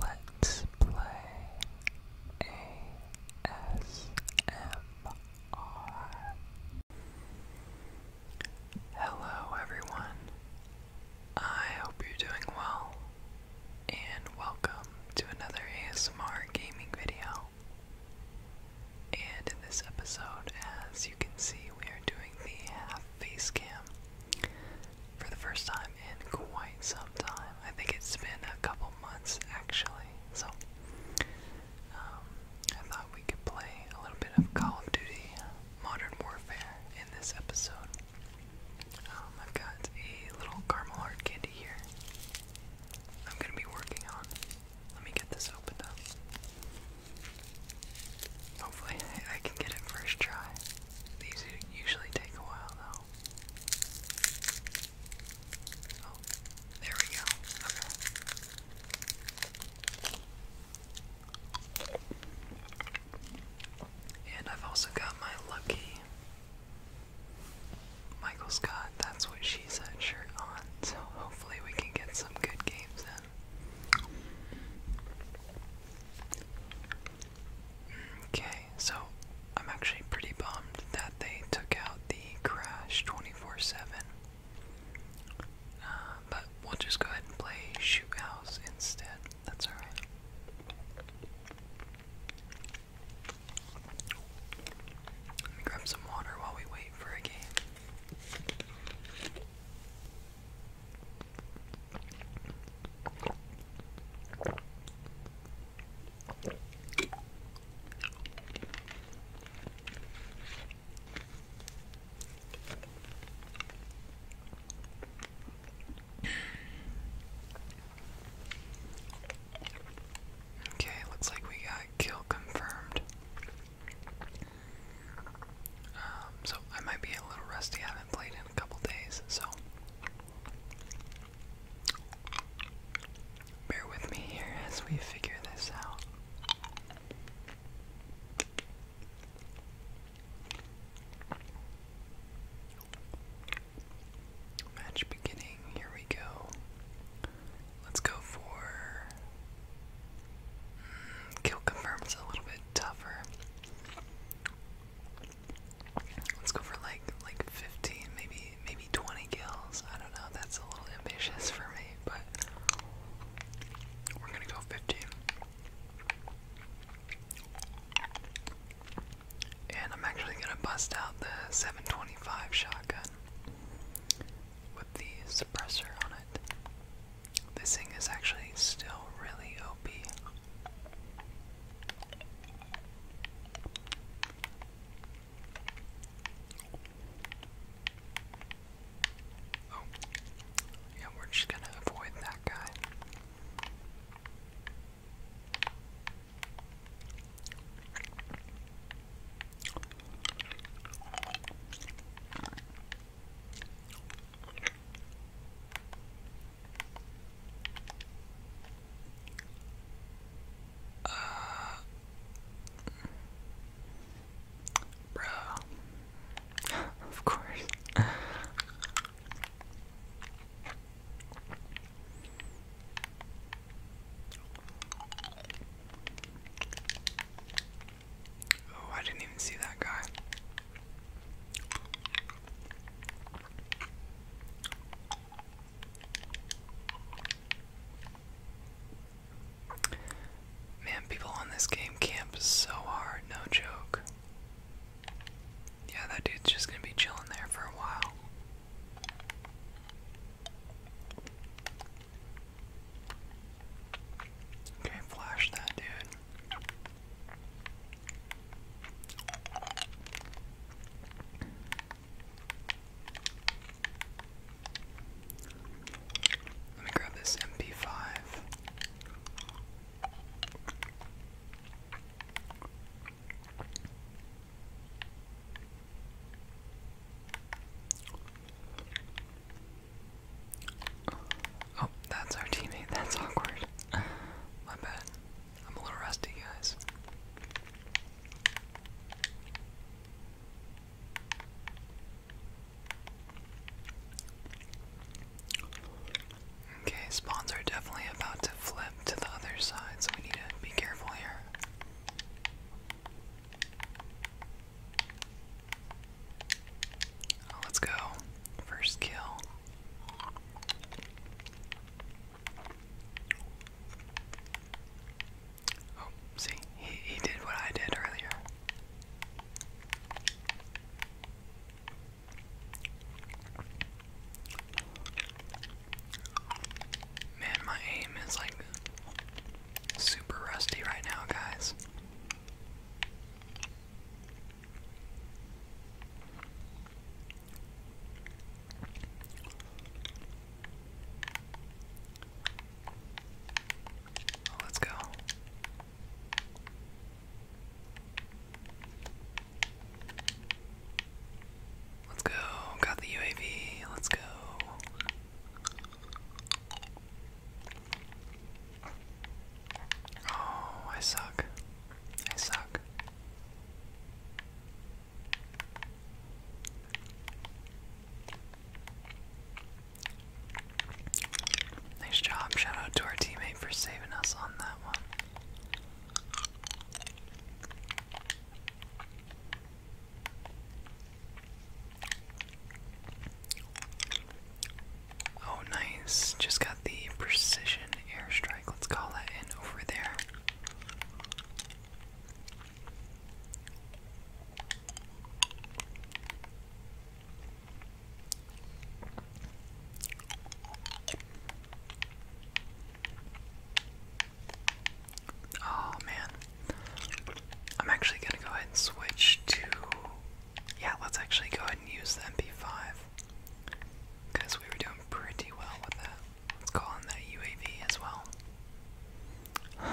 Let's play ASMR. Hello, everyone. I hope you're doing well, and welcome to another ASMR gaming video. And in this episode, as you can see, we are doing the half face cam for the first time in quite some time. I think it's been a couple months actually, so um, I thought we could play a little bit of Call of Duty Modern Warfare in this episode. Um, I've got a little caramel hard candy here. I'm gonna be working on. Let me get this opened up. Hopefully, I can get it first try. These usually take a while though. Oh, there we go. Okay. And I've also got my lucky Michael Scott, that's what she said, shirt on. So hopefully we can get some good games in. Okay, so I'm actually pretty bummed that they took out the crash 24 7. Uh, but we'll just go ahead and play Shoot House instead. That's alright. Let me grab some water while we wait for a game. Okay, looks like we got kill confirmed. Um, so I might be a little rusty. I haven't played in a couple days, so Bear with me here as we figure this out. Match beginning, here we go. Let's go for. Mm, kill confirms a little bit tougher. Let's go for like like 15, maybe maybe 20 kills. I don't know. That's a little ambitious for me, but we're gonna go 15. And I'm actually gonna bust out the 725 shotgun with the suppressor on it. This thing is actually still really Oh, yeah, we're just gonna avoid that guy. Uh, bro, of course. Oh, I didn't even see that guy. Man, people on this game camp so hard, no joke. Yeah, that dude's just gonna be chilling there for a while. Okay, flash that dude. Let me grab this MP5. Oh, that's our teammate. That's awkward. My bad. I'm a little rusty, guys. Okay, spawns are definitely about to flip to the other side, so we need to be careful here. Oh, let's go. First kill. Oh, see, he, he did what I did earlier. Man, my aim is like super rusty right now, guys. Oh, let's go. Let's go. Got the UAV. Let's go. Oh, I suck. I suck. Nice job. Shout out to our teammate for saving us on that one. Oh, nice. Just got the precision airstrike, let's call that in over there. Oh man. I'm actually going to go ahead and switch to. Yeah, let's actually go ahead and use the MP5. Because we were doing pretty well with that. Let's call on that UAV as well.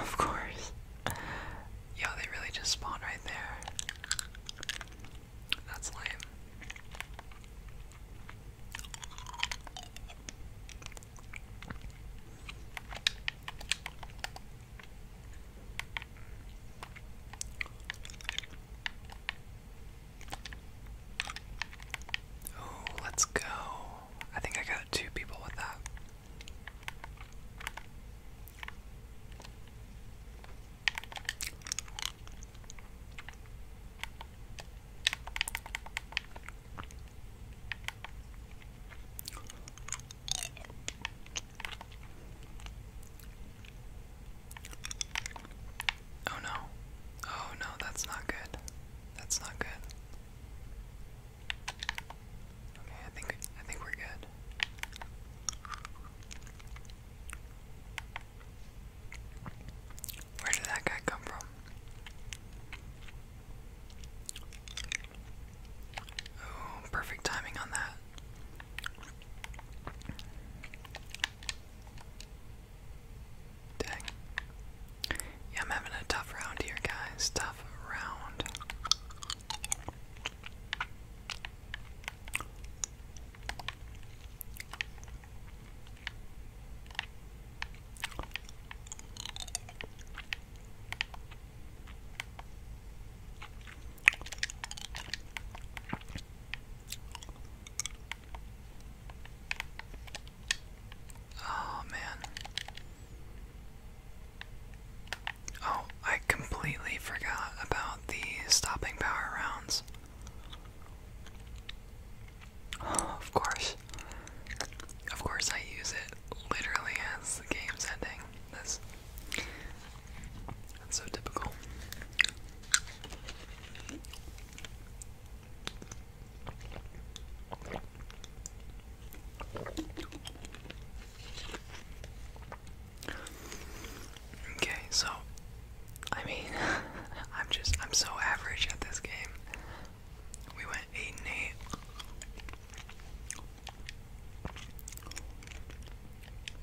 Of course. Yo, they really just spawned right there. That's lame let's go. I think I got two people with that. Oh no. Oh no, that's not good. That's not good. Okay, I think I think we're good. Where did that guy come from? Oh, perfect timing on that. Dang. Yeah, I'm having a tough round here, guys. Tough round. Oh man. Oh, I completely forgot about the stopping power rounds. of course. Of course, I use it literally as the game's ending. That's, that's so typical. Okay, so I mean, I'm just I'm so average at this game. We went eight eight.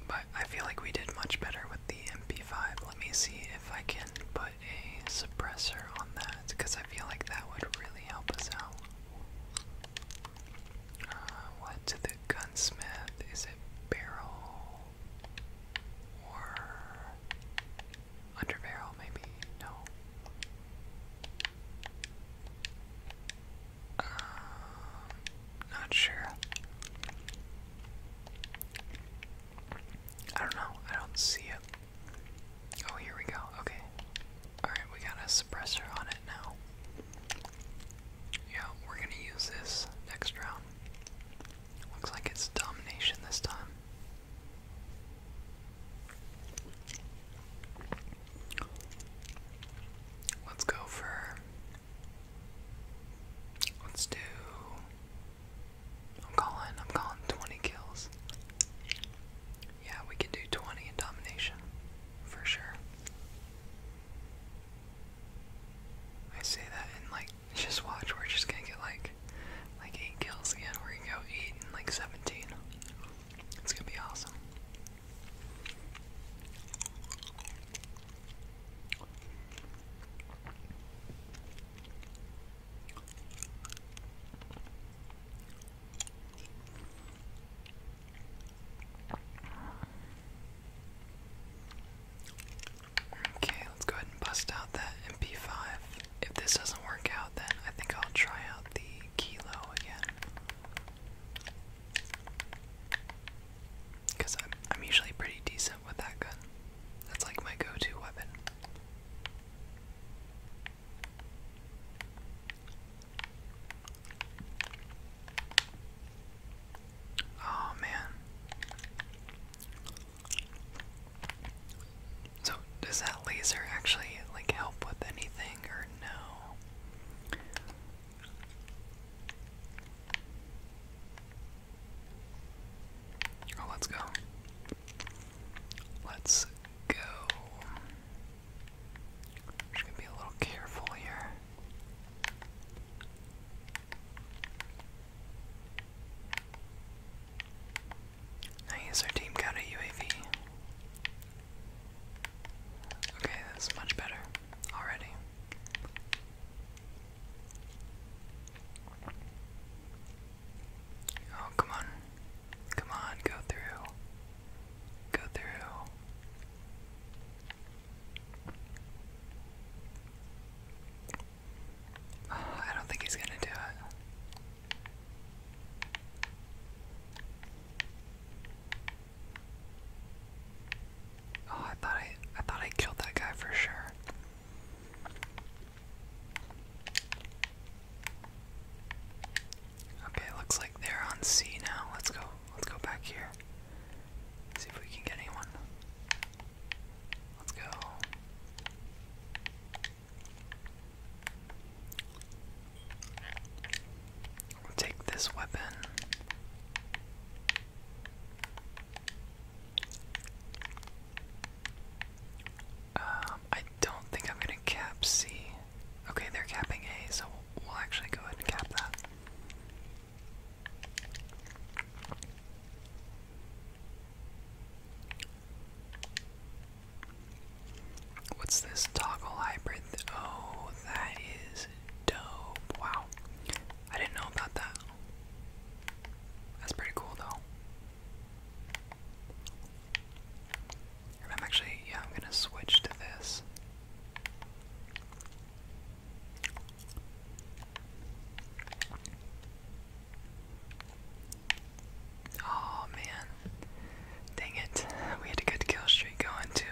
But I feel like we did much better with the MP5. Let me see if I can put a suppressor on that because I feel like that would really help us out. Uh, what to the gunsmith? Is it barrel or under barrel? Maybe no. Um, not sure. I don't know. I don't see it. Oh, here we go. Okay. Alright, we got a suppressor on it now. Yeah, we're gonna use this next round. Looks like it's domination this time. Let's go for. Let's do. I'm calling, I'm calling 20 kills. Yeah, we can do 20 in domination. For sure. I say that and like, just watch, we're just gonna get like, like 8 kills again. We're gonna go 8 and like 17. It's gonna be awesome. Okay, let's go ahead and bust out that MP5. If this doesn't work out, then I think I'll try out the Kilo again. Because I'm, usually pretty decent with that gun. That's like my go-to weapon. Oh man. So does that laser actually like help with anything or no? Oh, let's go. Let's go. just gonna be a little careful here. Nice, our team got a UAV. Okay, that's much better already. Oh, come on. Come on, go through. Go through. I don't think he's going to do it. Oh, I thought I I thought I killed that guy for sure. Okay, looks like they're on C now. Let's go. Let's go back here. See if we can get anyone. Let's go. take this weapon. Um, I don't think I'm gonna cap C. Okay, they're capping A, so we'll actually go ahead and cap that. What's this toggle hybrid? Oh, that is dope. Wow. I didn't know about that. That's pretty cool though. I'm actually, yeah, I'm gonna switch to this. Oh man. Dang it. We had a good kill streak going too.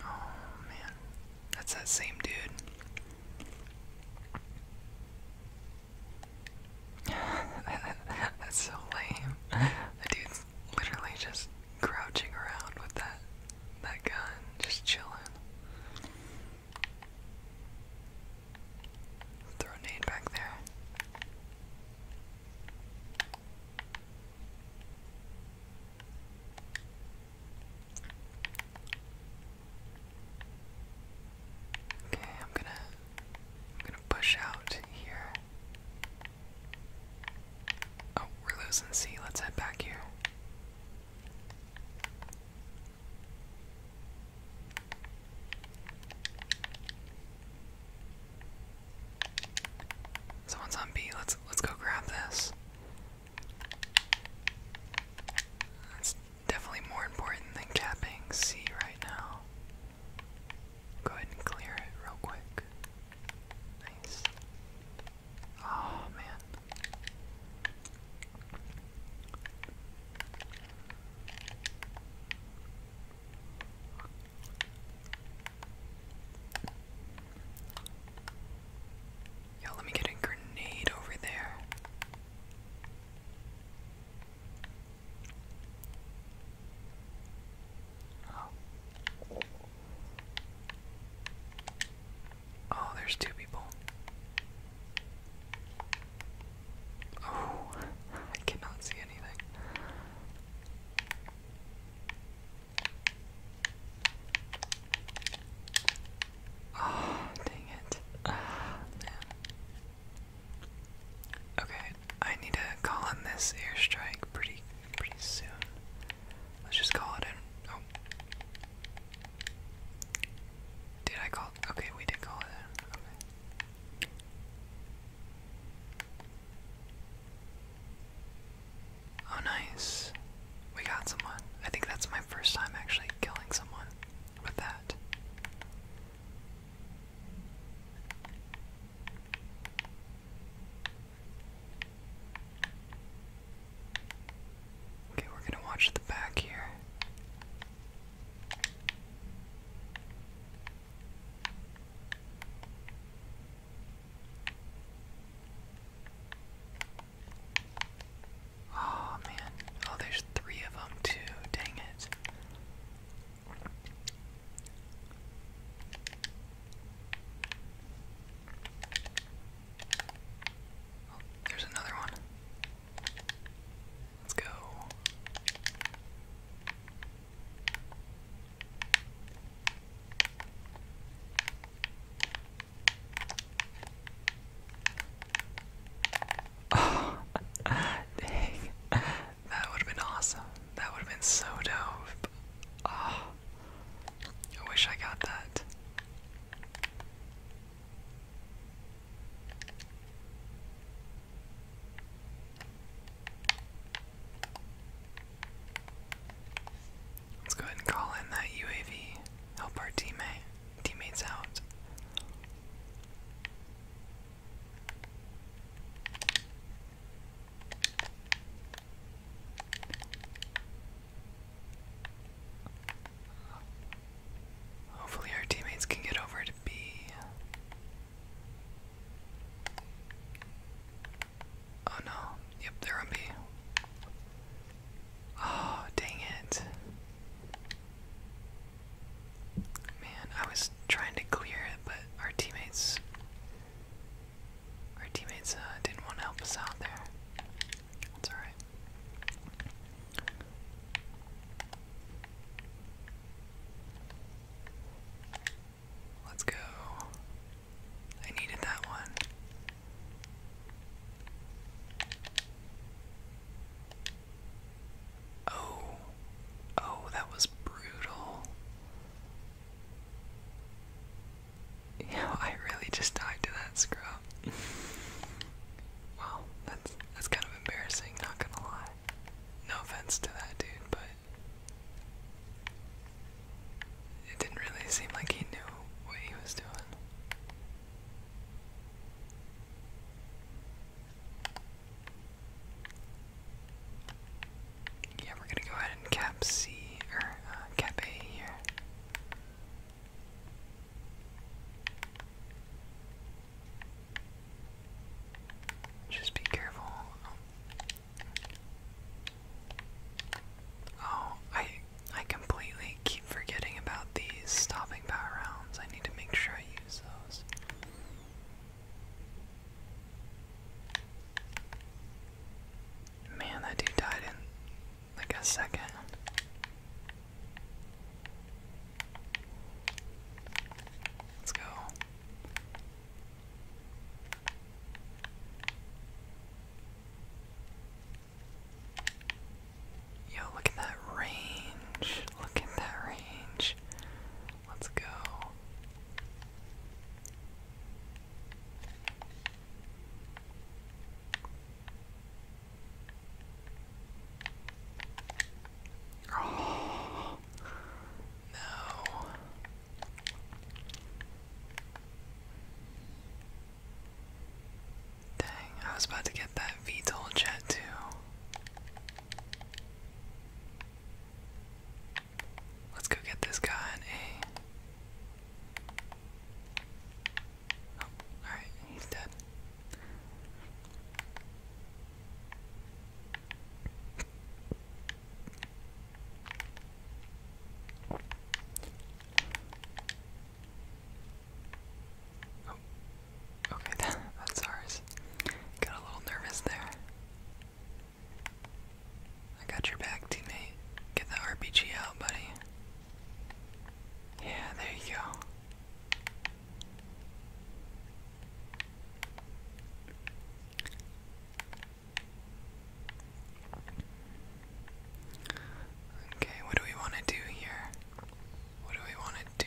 Oh man, that's that same dude. that's so lame. The dude's literally just crouching around with that that gun, just chilling. Throw a back there. Okay, I'm gonna I'm gonna push out here. Oh, we're losing C, let's head back here. Someone's on B. Let's let's go grab this. That's definitely more important than capping C right now. Go ahead and clear it real quick. Nice. Oh man. Yo, let me get a grenade over there. Oh, oh there's two people. Oh, I cannot see anything. Oh, dang it. Ah, Okay, I need to call in this airstrike pretty pretty soon. Let's just call it in. Oh. Did I call Okay, we did call it Oh, nice. We got someone. I think that's my first time actually killing someone with that. Okay, we're gonna watch the back here. Oh man. Oh, there's three of them too. Dang it. Oh, there's another one. Let's go. Oh, dang. That would have been awesome. That would have been so dope. Oh, I wish I got that. Let's go ahead and call in that UAV. Help our teammate teammates out. Hopefully our teammates can get over to B. Oh no. Yep, they're on B. Oh, dang it. Man, I was trying to clear it, but our teammates our teammates uh, didn't want to help us out there. That's all right. Let's go. I needed that one. Oh. Oh, that was brutal. You I really just died to that scrub. wow, that's that's kind of embarrassing, not gonna lie. No offense to that dude, but it didn't really seem like he knew what he was doing. Yeah, we're gonna go ahead and cap C or uh, cap A here. Just be careful. Oh, I I completely keep forgetting about these stopping power rounds. I need to make sure I use those. Man, that dude died in like a second. Let's go. Yo, look at that range. Look at that range. Let's go. Oh, no. Dang, I was about to get that VTOL jet too. Let's go get this guy an Oh, alright, he's dead. Oh. Okay, that's ours. Got a little nervous there. I got your back, teammate. Get the RPG out, buddy. Yeah, there you go. Okay, what do we want to do here? What do we want to do?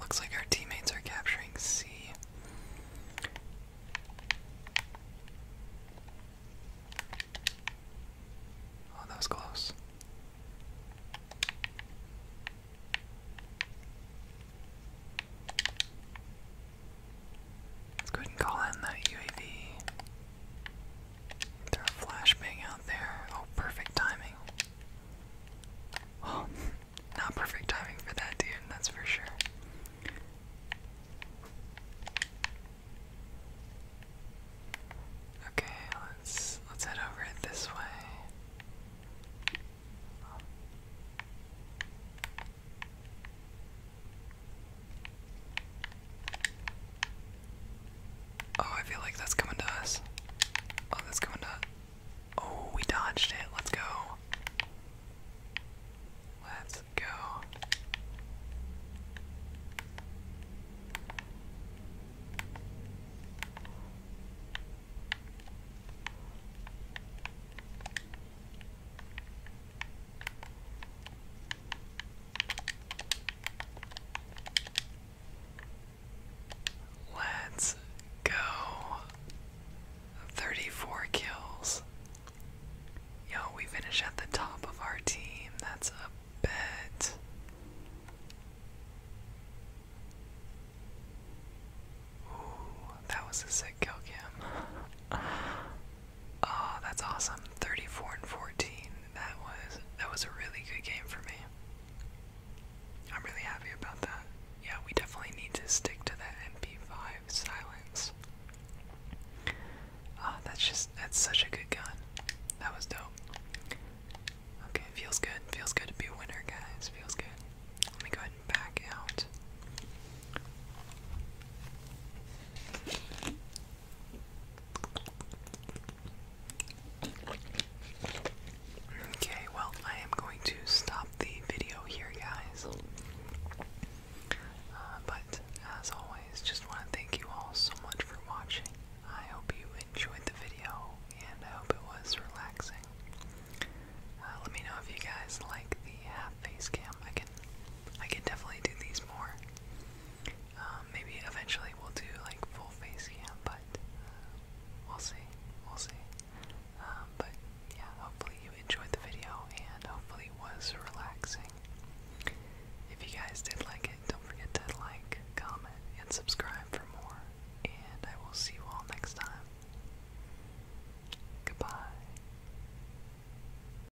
Looks like our teammates are capturing C. Oh, that was close. Let's go ahead and call in that UAV. Throw a flashbang out there. Oh, perfect timing. Well, oh, not perfect timing for that dude, that's for sure. Okay, let's let's head over it this way. Oh, I feel like that's coming to us. Oh, that's coming to. Oh, we dodged it. Let's go. Let's go. Let's go. 34 kills. Yo, we finish at the top of our team. That's a bet. Ooh, that was a sick kill cam. Oh, that's awesome. 34 and 14. That was that was a really good game for me. I'm really happy about that. Yeah, we definitely need to stick to that MP5 silence. Oh, that's just that's such a good gun. That was dope. Okay, feels good. Feels good to be a winner, guys. Feels good. Let me go ahead and back out. Okay, well, I am going to stop the video here, guys. Uh, but as always, just want to thank you all so much for watching. I hope you enjoyed the video, and I hope it was relaxing. Uh, let me know if you guys like the half face cam. I can, I can definitely do these more. Um, maybe eventually we'll do like full face cam, but uh, we'll see. We'll see. Um, but yeah, hopefully you enjoyed the video and hopefully it was relaxing. If you guys did like it, don't forget to like, comment, and subscribe for more. And I will see you all next time. Goodbye.